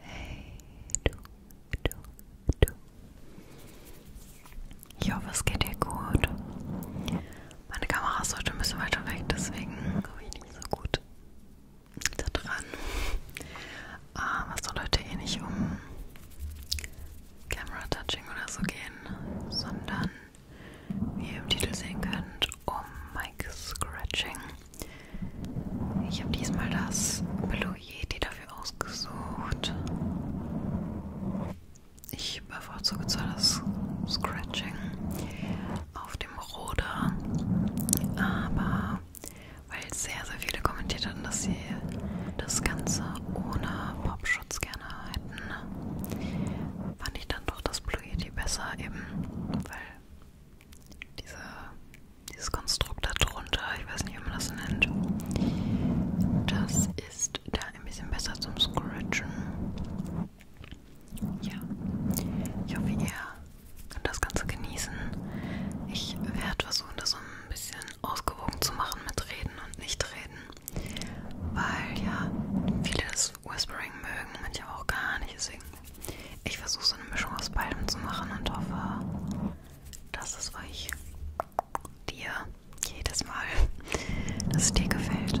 Hey, du, du, du. Ich hoffe, es geht dir gut. Meine Kamera ist heute ein bisschen weiter weg, deswegen komme ich nicht so gut da dran. Aber ah, es soll heute eh nicht um Camera Touching oder so gehen, sondern wie ihr im Titel sehen könnt, um Mic Scratching. Ich habe diesmal das Blue Yeti dafür ausgesucht. Ich bevorzuge zwar das Scratching auf dem Roder, aber weil sehr, sehr viele kommentiert hatten, dass sie das Ganze ohne Popschutz gerne hätten, fand ich dann doch das Blue Yeti besser eben, weil diese, dieses Konstrukt darunter, ich weiß nicht, wie man das nennt. Das ist da ein bisschen besser zum Scratchen. Ja, ich hoffe, ihr könnt das Ganze genießen. Ich werde versuchen, das so ein bisschen ausgewogen zu machen mit Reden und Nicht-Reden, weil ja viele das Whispering mögen, manche auch gar nicht, deswegen ich versuche so eine Mischung aus beidem zu machen und hoffe, dass es euch, dir, jedes Mal, dass es dir gefällt.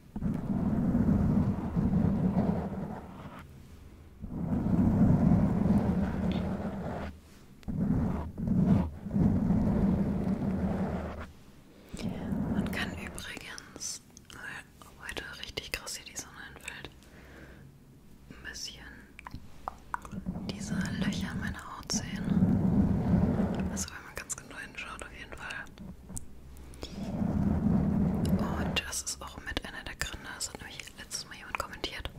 Man kann übrigens, weil äh, heute richtig krass hier die Sonne entfällt, ein bisschen diese Löcher in meiner Haut sehen. Also wenn man ganz genau hinschaut, auf jeden Fall und das ist auch mit einer der Gründe, das hat nämlich letztes Mal jemand kommentiert,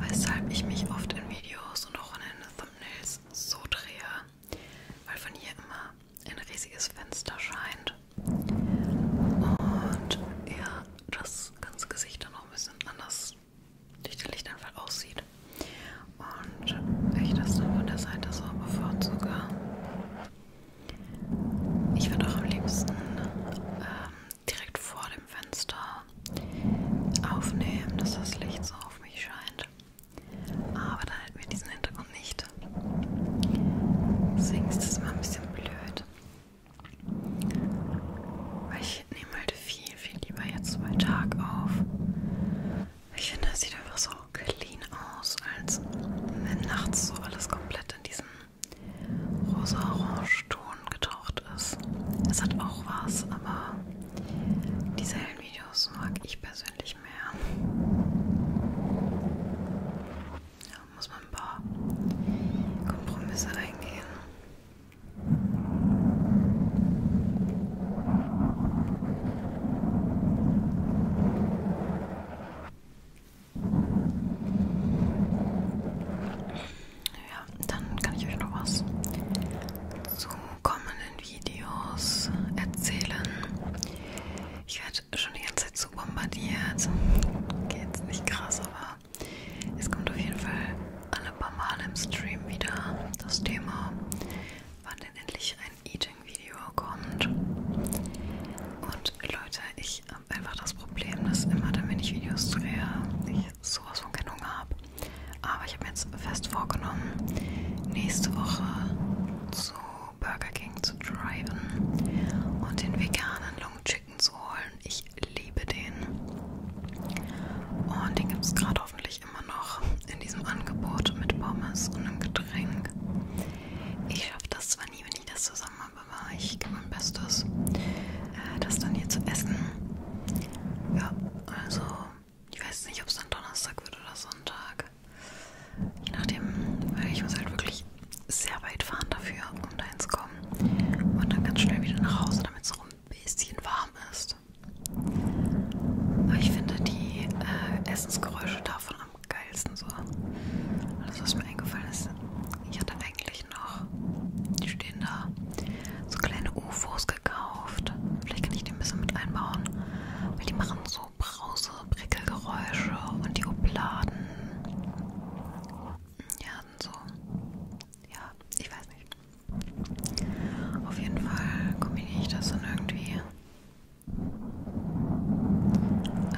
weshalb ich mich oft in Videos und auch in den Thumbnails so drehe, weil von hier immer ein riesiges Fenster scheint. Und ja, das ganze Gesicht dann auch ein bisschen anders durch den Lichteinfall aussieht. Und ich das dann von der Seite so bevorzuge. Ich würde auch am liebsten ähm, direkt vor dem Fenster aufnehmen, dass das Licht so auf mich scheint. Aber dann hätten wir diesen Hintergrund nicht. Deswegen ist das mal ein bisschen blöd. Weil ich nehme halt viel, viel lieber jetzt bei Tag auf. Ich finde, es sieht einfach so clean aus, als wenn nachts so alles komplett in diesen rosa-orange-Ton getaucht ist. Es hat auch was, aber diese hellen Videos mag ich persönlich mehr. Da muss man ein paar Kompromisse eingehen. Ja, dann kann ich euch noch was zu kommenden Videos erzählen. Ich werde schon die ganze Zeit zu bombardiert. Okay, jetzt nicht krass, aber es kommt auf jeden Fall alle paar Mal im Stream wieder das Thema, wann denn endlich ein Eating-Video kommt. Und Leute, ich habe einfach das Problem, dass immer dann, wenn ich Videos drehe, ich sowas von keinen Hunger habe. Aber ich habe mir jetzt fest vorgenommen, nächste Woche zu Burger King zu driven und den veganen Long Chicken zu holen. Ich liebe den. Und den gibt es gerade hoffentlich ich immer noch in diesem Angebot mit Pommes und einem Getränk. Ich schaffe das zwar nie, wenn ich das zusammen habe, aber ich gebe mein Bestes, äh, das dann hier zu essen. Ja, also ich weiß nicht, ob es dann Donnerstag wird oder Sonntag. Je nachdem, weil ich muss halt wirklich sehr weit fahren dafür, um da hinzukommen. Und dann ganz schnell wieder nach Hause, damit es auch ein bisschen warm ist ist. Aber ich finde die äh, Essensgeräusche davon am geilsten so. Alles, was mir eingefallen ist, ich hatte eigentlich noch, die stehen da, so kleine UFOs gekauft. Vielleicht kann ich die ein bisschen mit einbauen, weil die machen so brause, Prickelgeräusche und die Obladen. Ja, so. Ja, ich weiß nicht. Auf jeden Fall kombiniere ich das dann irgendwie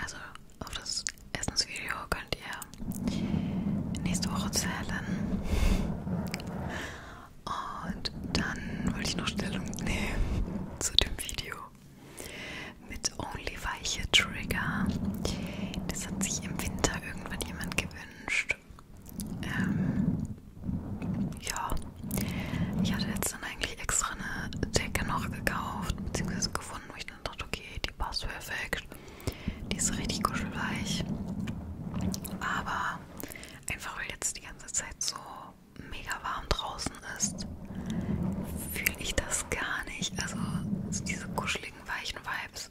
also auf das Essensvideo könnt ihr nächste Woche zählen. Und dann wollte ich noch Stellung nehmen zu dem Video mit Only Weiche Trigger. Das hat sich im Winter irgendwann jemand gewünscht. Ähm, ja, ich hatte jetzt dann eigentlich extra eine Decke noch gekauft, beziehungsweise gefunden, wo ich dann dachte, okay, die passt perfekt. Die ist richtig kuschelweich. Aber einfach weil jetzt die ganze Zeit so mega warm draußen ist, fühle ich das gar nicht. Also diese kuscheligen, weichen Vibes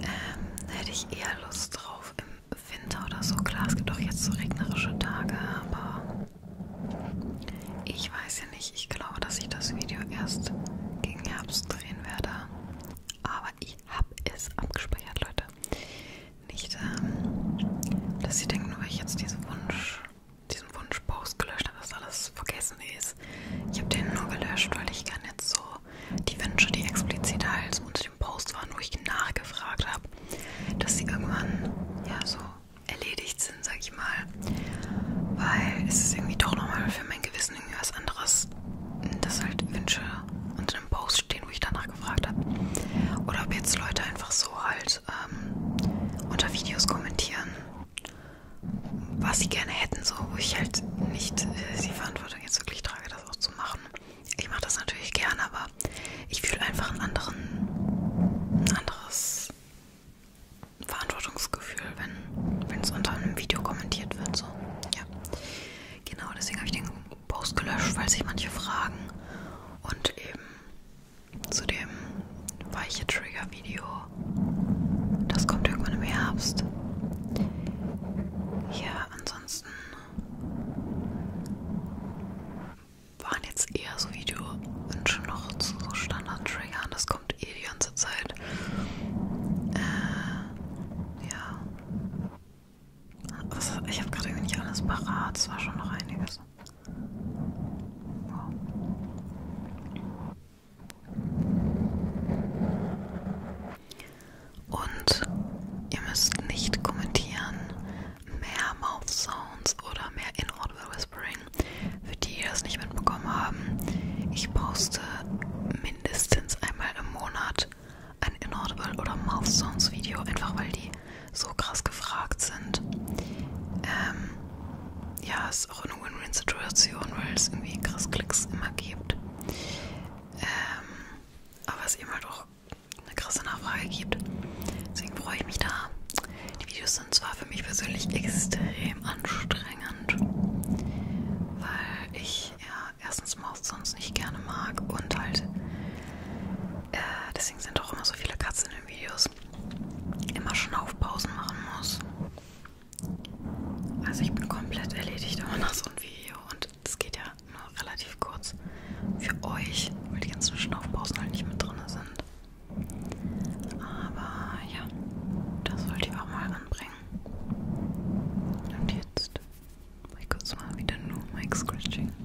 ähm, hätte ich eher Lust drauf im Winter oder so. Klar, es gibt auch jetzt so regnerische Tage, aber ich weiß ja nicht. Ich glaube, dass ich das Video erst gegen Herbst drehen werde. Aber ich habe es abgespeichert, Leute. Nicht, ähm, dass sie denken, nur weil ich jetzt diesen Wunsch, diesen Wunschpost gelöscht habe, dass alles vergessen ist. Ich habe den nur gelöscht, weil ich gerne jetzt so die Wünsche, die explizit halt unter dem Post waren, wo ich nachgefragt habe, dass sie irgendwann ja so erledigt sind, sag ich mal. Weil es ist irgendwie doch nochmal für mein Gewissen irgendwie was anderes, dass halt Wünsche unter einem Post stehen, wo ich danach gefragt habe. Oder ob jetzt Leute einfach so halt ähm, unter Videos kommentieren, was sie gerne hätten, so wo ich halt nicht äh, die Verantwortung jetzt wirklich trage, das auch zu machen. Ich mache das natürlich gerne, aber ich fühle einfach einen anderen, ein anderes Verantwortungsgefühl, wenn es unter einem Video kommentiert wird. So. Ja. Genau, deswegen habe ich den Post gelöscht, weil sich manche fragen. Und eben zu dem weiche Trigger-Video. Das kommt irgendwann im Herbst. Ja, ansonsten waren jetzt eher so Video-Wünsche noch zu so Standard-Triggern. Das kommt eh die ganze Zeit. Äh, ja. Was, ich habe gerade irgendwie nicht alles parat. Es war schon noch einiges. Wow. Und ihr müsst nicht kommentieren, mehr Mouth Sounds oder mehr Inaudible Whispering. Für die, die das nicht mitbekommen haben, ich poste mindestens einmal im Monat ein Inaudible oder Mouth Sounds Video, einfach weil die so krass gefragt sind. Ähm, ja, ist auch eine Win-Win-Situation, weil es irgendwie krass Klicks immer gibt. Ähm, aber es eben halt auch eine krasse Nachfrage gibt. Deswegen freue ich mich da. Die Videos sind zwar für mich persönlich extrem anstrengend, weil ich ja erstens Maus sonst nicht gerne mag und halt äh, deswegen sind auch immer so viele Katzen in den Videos immer schon auf Pausen machen muss. Also ich bin komplett erledigt immer nach so einem Video und das geht ja nur relativ kurz für euch, weil die ganzen Schnaufpausen halt nicht mit drin sind. Aber ja, das wollte ich auch mal anbringen. Und jetzt mache ich kurz mal wieder nur Mic Scratching. Okay.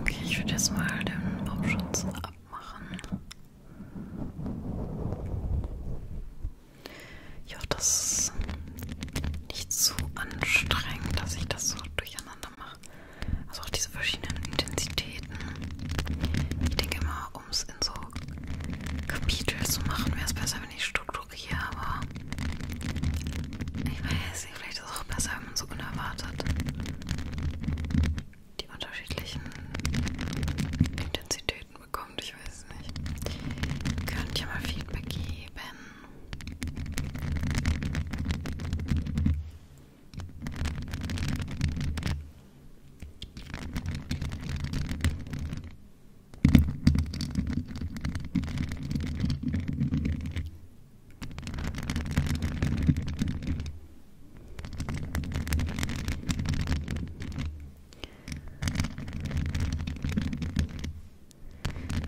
Okay, ich würde jetzt mal den Baumschutz ab machen. Ich hoffe, das ist nicht zu so anstrengend, dass ich das so durcheinander mache. Also auch diese verschiedenen Intensitäten. Ich denke immer, um es in so Kapitel zu machen, wäre es besser, wenn ich strukturiere, aber ich weiß nicht, vielleicht ist es auch besser, wenn man so unerwartet die unterschiedlichen Intensitäten bekommt. Ich weiß es nicht. Könnt ihr mal Feedback geben?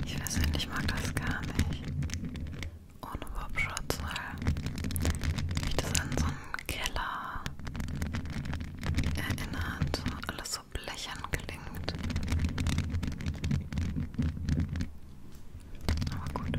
Ich weiß nicht, ich mag das gar nicht. Ohne Popschutz, weil mich das an so einen Keller erinnert. Alles so blechern klingt. Aber gut.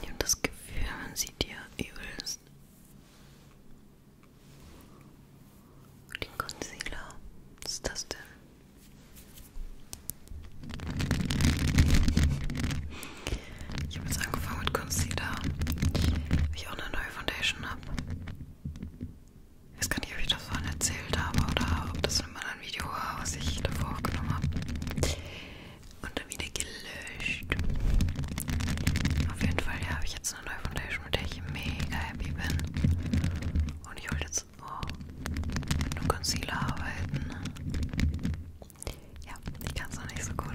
Ich habe das Gefühl, man sieht die dir übelst. Den Concealer, was ist das denn? Ich habe jetzt angefangen mit Concealer, weil ich auch eine neue Foundation habe. Ich weiß gar nicht, ob ich das vorhin erzählt habe oder ob das in einem anderen Video war, was ich davor aufgenommen habe und dann wieder gelöscht. Auf jeden Fall, ja, habe ich jetzt eine neue Foundation, mit der ich mega happy bin. Und ich wollte jetzt oh, mit einem Concealer arbeiten. Ja, ich kann es noch nicht so gut.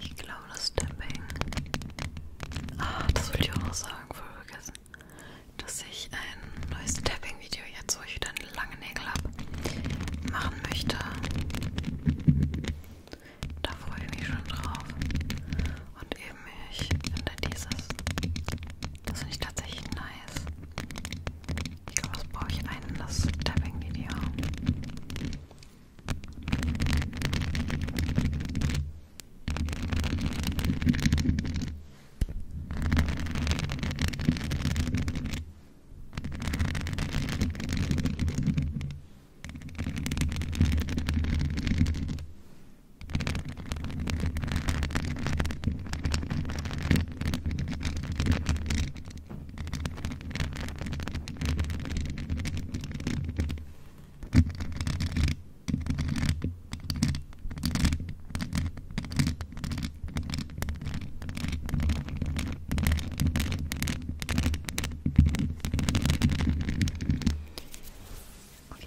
Ich glaube, das Tapping. Ah, das wollte ich auch noch sagen, voll vergessen. Dass ich ein neues Tapping-Video jetzt, wo ich wieder einen langen Nägel habe, machen möchte. Da freue ich mich schon drauf. Und eben ich finde dieses. Das finde ich tatsächlich nice nice. Ich glaube, das brauche ich einen, das Tapping-Video. Okay,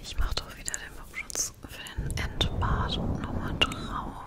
ich mache doch wieder den Popschutz für den Endbart nochmal drauf.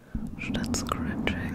statt Scratching.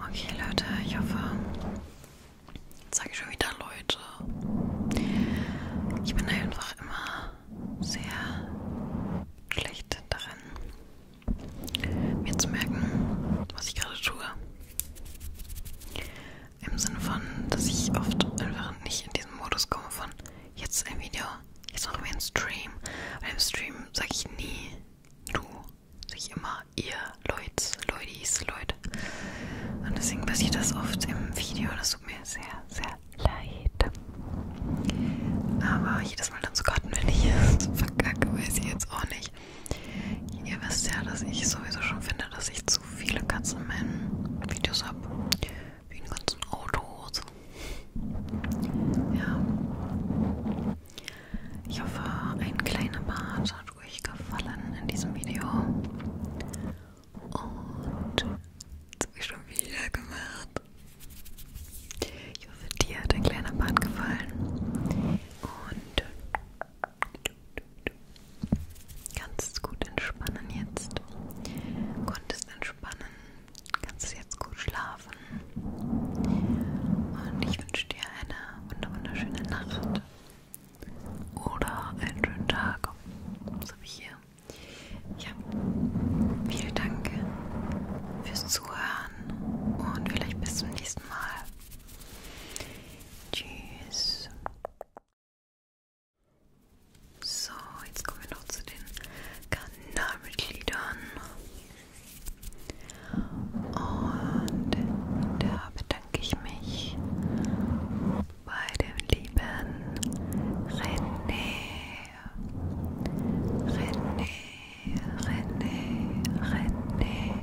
Okay, Leute, ich hoffe, jetzt sage ich schon wieder Leute. Ich bin einfach immer sehr schlecht darin, mir zu merken, was ich gerade tue. Im Sinne von, dass ich oft einfach nicht in diesen Modus komme von jetzt ein Video, jetzt machen wir einen Stream. Bei einem Stream sage ich nie du, sage ich immer ihr, Leuts, Leutis, Leute. Und deswegen passiert das oft im Video. Das tut mir sehr, sehr leid. Aber jedes Mal dann so gottenwillig ist, verkacke weiß ich jetzt auch nicht ich, ihr wisst ja, dass ich sowieso schon finde, dass ich zu viele Katzen in meinen Videos habe. Wie in ganzen Autos. Ja. Ich hoffe, ein kleiner Part hat euch gefallen in diesem Video. Und das habe ich schon wieder gemacht. Ich hoffe, dir hat ein kleiner Part gefallen. Und Kannst gut entspannen jetzt. Konntest entspannen. Kannst jetzt gut schlafen. Und ich wünsche dir eine wunderschöne Nacht. Oder einen schönen Tag. So wie hier. Ja. Vielen Dank fürs Zuhören. Und vielleicht bis zum nächsten Mal. Tschüss. So, jetzt kommen wir noch zu den Kanalmitgliedern. Und da bedanke ich mich bei dem lieben René. René, René, René.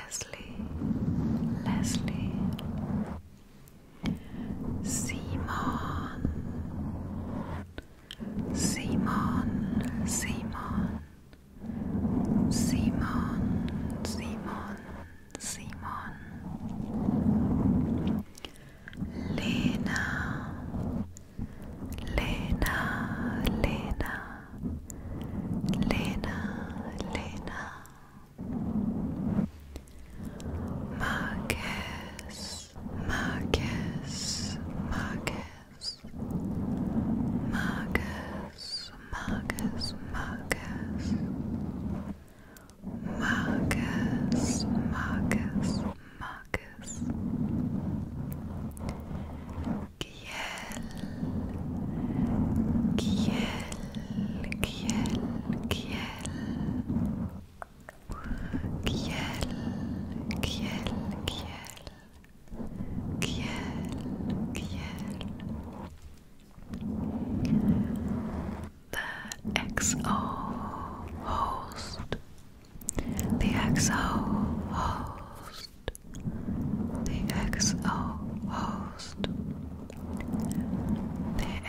Leslie, Leslie, Simon, Simon, Simon, Simon, Simon, Lena, Lena, Lena, Lena, Lena. Marcus, Marcus, Marcus, Marcus, Marcus, Marcus, Marcus, Marcus, Marcus, Kiel, Kiel, Kiel. Kiel, Kiel, Kiel. Kiel, Kiel. The XO host. The XO host. The XO host. The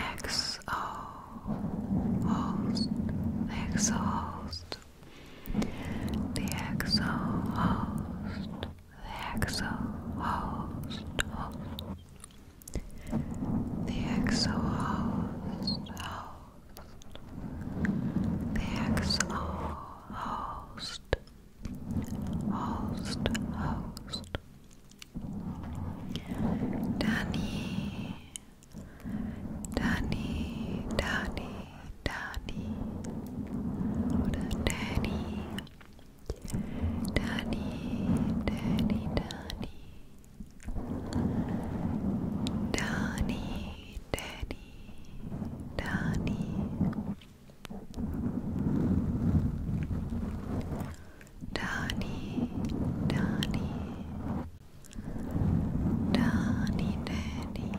exo host, the exo host, the exo host, the exo host, host. The exo host, host, the exo host, host, host. Danny, Danny, Danny, Danny, oder Danny, Danny, Danny, Danny, Danny, Danny, Danny, Dani, Dani, Dani, Dani.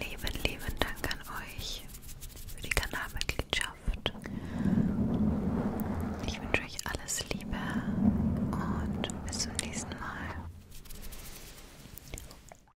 Lieben, lieben Dank an euch für die Kanalmitgliedschaft. Ich wünsche euch alles Liebe und bis zum nächsten Mal.